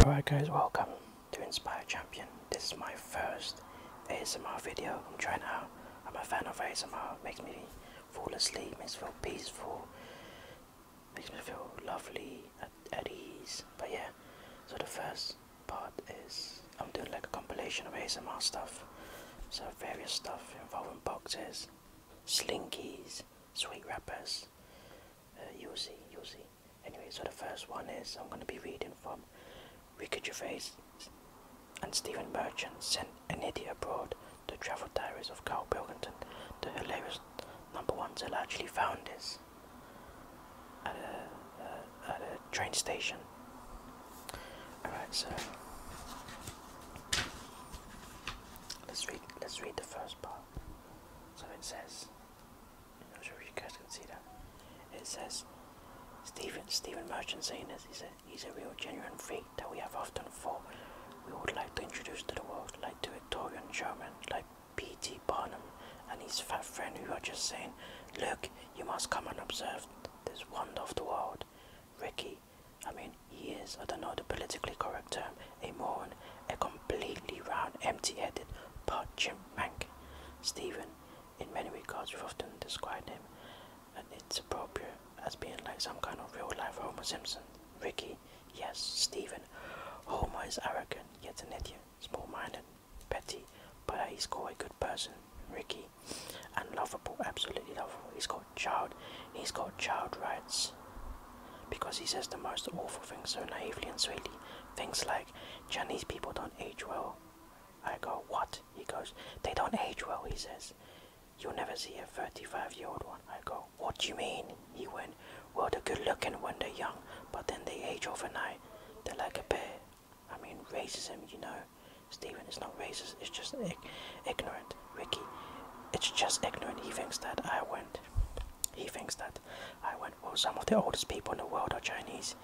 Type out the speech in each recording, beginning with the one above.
Alright guys, welcome to Inspire Champion. This is my first ASMR video. I'm trying out. I'm a fan of ASMR. It makes me fall asleep, makes me feel peaceful, makes me feel lovely, at, at ease. But yeah, so the first part is I'm doing like a compilation of ASMR stuff. So various stuff involving boxes, slinkies, sweet wrappers, uh, you'll see, you'll see. Anyway, so the first one is I'm going to be reading from Ricky Gervais and Stephen Merchant sent an idiot abroad, the travel diaries of Carl Pilkington. The hilarious number ones that largely actually uh, at a, train station. Alright, so let's read let's read the first part. So it says I'm sure you guys can see that. It says Stephen Stephen Merchant saying this, he's a he's a real genuine freak that we have often thought we would like to introduce to the world, like to Victorian German, like P.T. Barnum and his fat friend who are just saying, Look, you must come and observe this wonder of the world. Ricky, I mean, he is, I don't know the politically correct term, a moron, a completely round, empty headed, parchment mank. Stephen, in many regards, we've often described him, and it's appropriate, as being like some kind of real life Homer Simpson. Ricky, yes, Stephen. Homer is arrogant, yet an idiot, small minded, petty, but uh, he's got a good person, Ricky, and lovable, absolutely lovable. He's got child, he's got child rights, because he says the most awful things so naively and sweetly. Things like Chinese people don't age well. I go, what? He goes, they don't age well. He says, you'll never see a 35-year-old one. I go, what do you mean? He went, well, they're good looking when they're young, but then they age overnight. They're like a bear. I mean, racism, you know. Stephen, is not racist, it's just ignorant. Ricky, it's just ignorant. He thinks that I went. He thinks that I went. Well, some of the oldest people in the world are Chinese.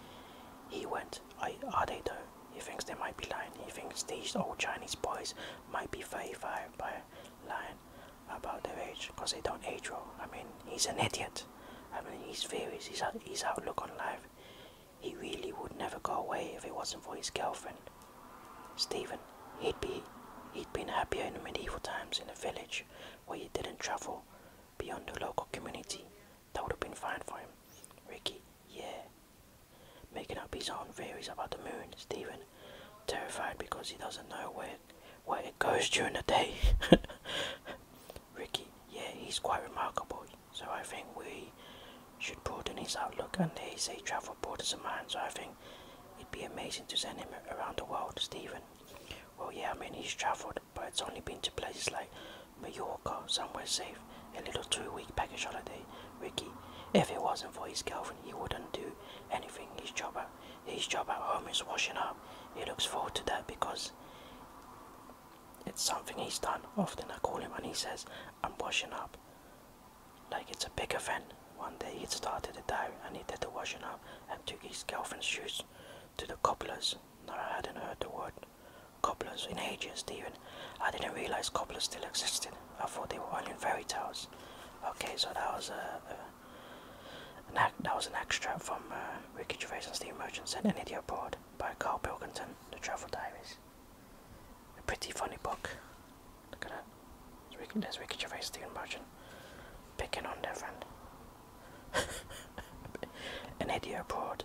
He went. I, are they though? He thinks they might be lying. He thinks these old Chinese boys might be 35 by lying about their age because they don't age well. I mean, he's an idiot. I mean, he's theories, his, his outlook on life he really would never go away if it wasn't for his girlfriend. Stephen, he'd be he'd been happier in the medieval times in the village where he didn't travel beyond the local community. That would have been fine for him. Ricky, yeah. Making up his own theories about the moon, Stephen, terrified because he doesn't know where where it goes during the day. Ricky, yeah, he's quite remarkable. So I think we should broaden his outlook and they say travel borders of mine. So I think it'd be amazing to send him around the world, Stephen. Well, yeah, I mean, he's traveled, but it's only been to places like Mallorca, somewhere safe, a little two week package holiday. Ricky, if it wasn't for his girlfriend, he wouldn't do anything. His job his job at home is washing up. He looks forward to that because it's something he's done. Often I call him and he says, I'm washing up. Like it's a big event. One day he'd started it out and he did the washing up and took his girlfriend's shoes to the cobblers. No, I hadn't heard the word cobblers in ages, Stephen. I didn't realize cobblers still existed. I thought they were only in fairy tales. Okay, so that was uh, uh, a, that was an extra from uh, Ricky Gervais and Steve Merchant said an by Carl Pilkington, The Travel Diaries. A pretty funny book. Look at that. There's Ricky, there's Ricky Gervais, Stephen Merchant, picking on their friend. An idiot abroad.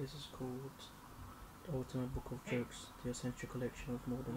This is called The Ultimate Book of Jokes, the essential collection of modern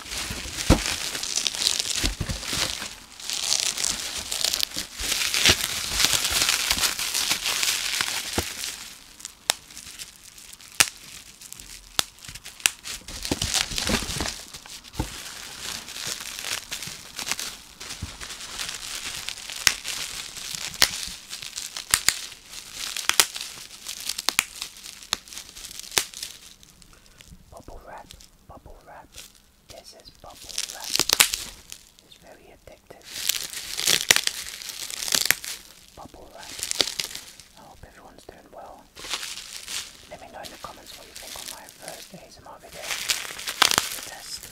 Bubble wrap bubble wrap. This is bubble wrap. It's very addictive. Bubble wrap. I hope everyone's doing well. Let me know in the comments what you think on my first ASMR video. The test. test.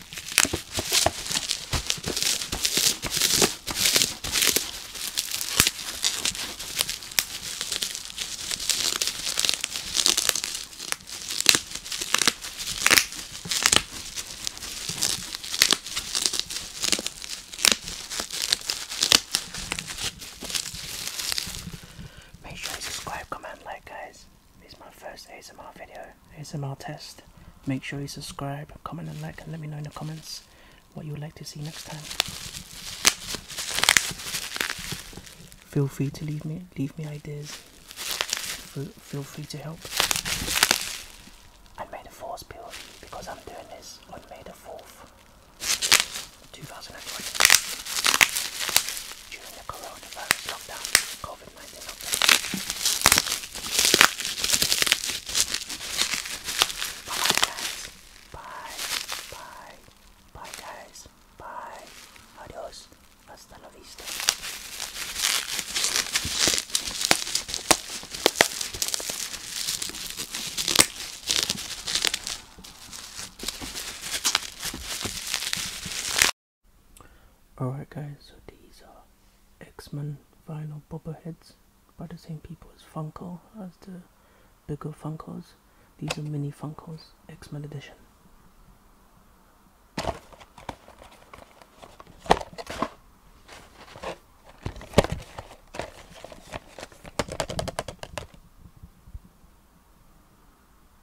Make sure you subscribe, comment, like, guys. This is my first ASMR video, ASMR test. Make sure you subscribe, comment and like and let me know in the comments what you would like to see next time. Feel free to leave me leave me ideas. Feel free to help. I made a force build because I'm doing this on May the 4th, 2020. During the coronavirus lockdown, envolve mais em Bye guys. Bye. Bye. Bye guys. Bye. Adiós. Hasta la vista. Alright guys, so these are X-Men vinyl bobbleheads by the same people as Funko, as the bigger Funkos. These are mini Funkos, X-Men edition.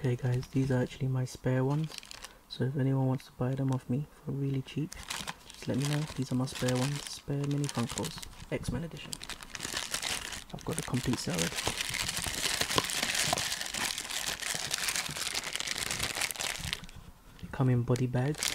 Okay guys, these are actually my spare ones. So if anyone wants to buy them off me for really cheap, just let me know. These are my spare ones, spare mini Funkos, X-Men edition. I've got the complete salad. They come in body bags.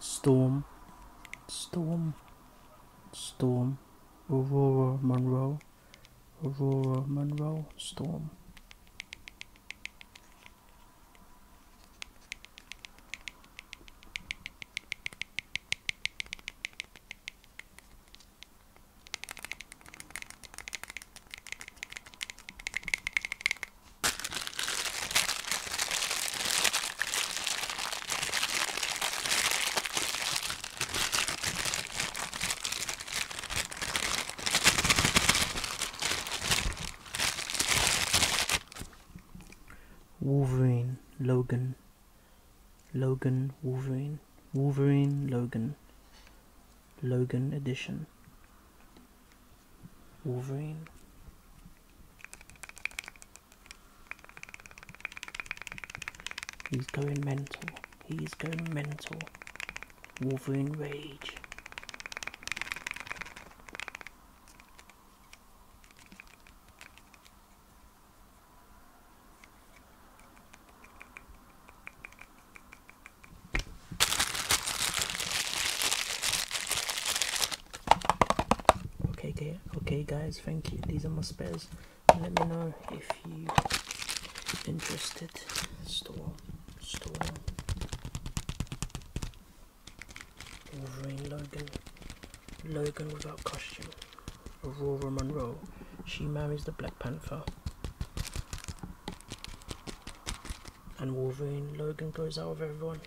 Storm, Storm, Storm, Aurora Monroe, Aurora Monroe, Storm. Wolverine, Logan, Logan, Wolverine, Wolverine, Logan, Logan edition. Wolverine. He's going mental. He's going mental. Wolverine rage okay okay guys thank you these are my spares let me know if you are interested store store Wolverine Logan Logan without costume Aurora Monroe she marries the Black Panther and Wolverine Logan goes out of everyone.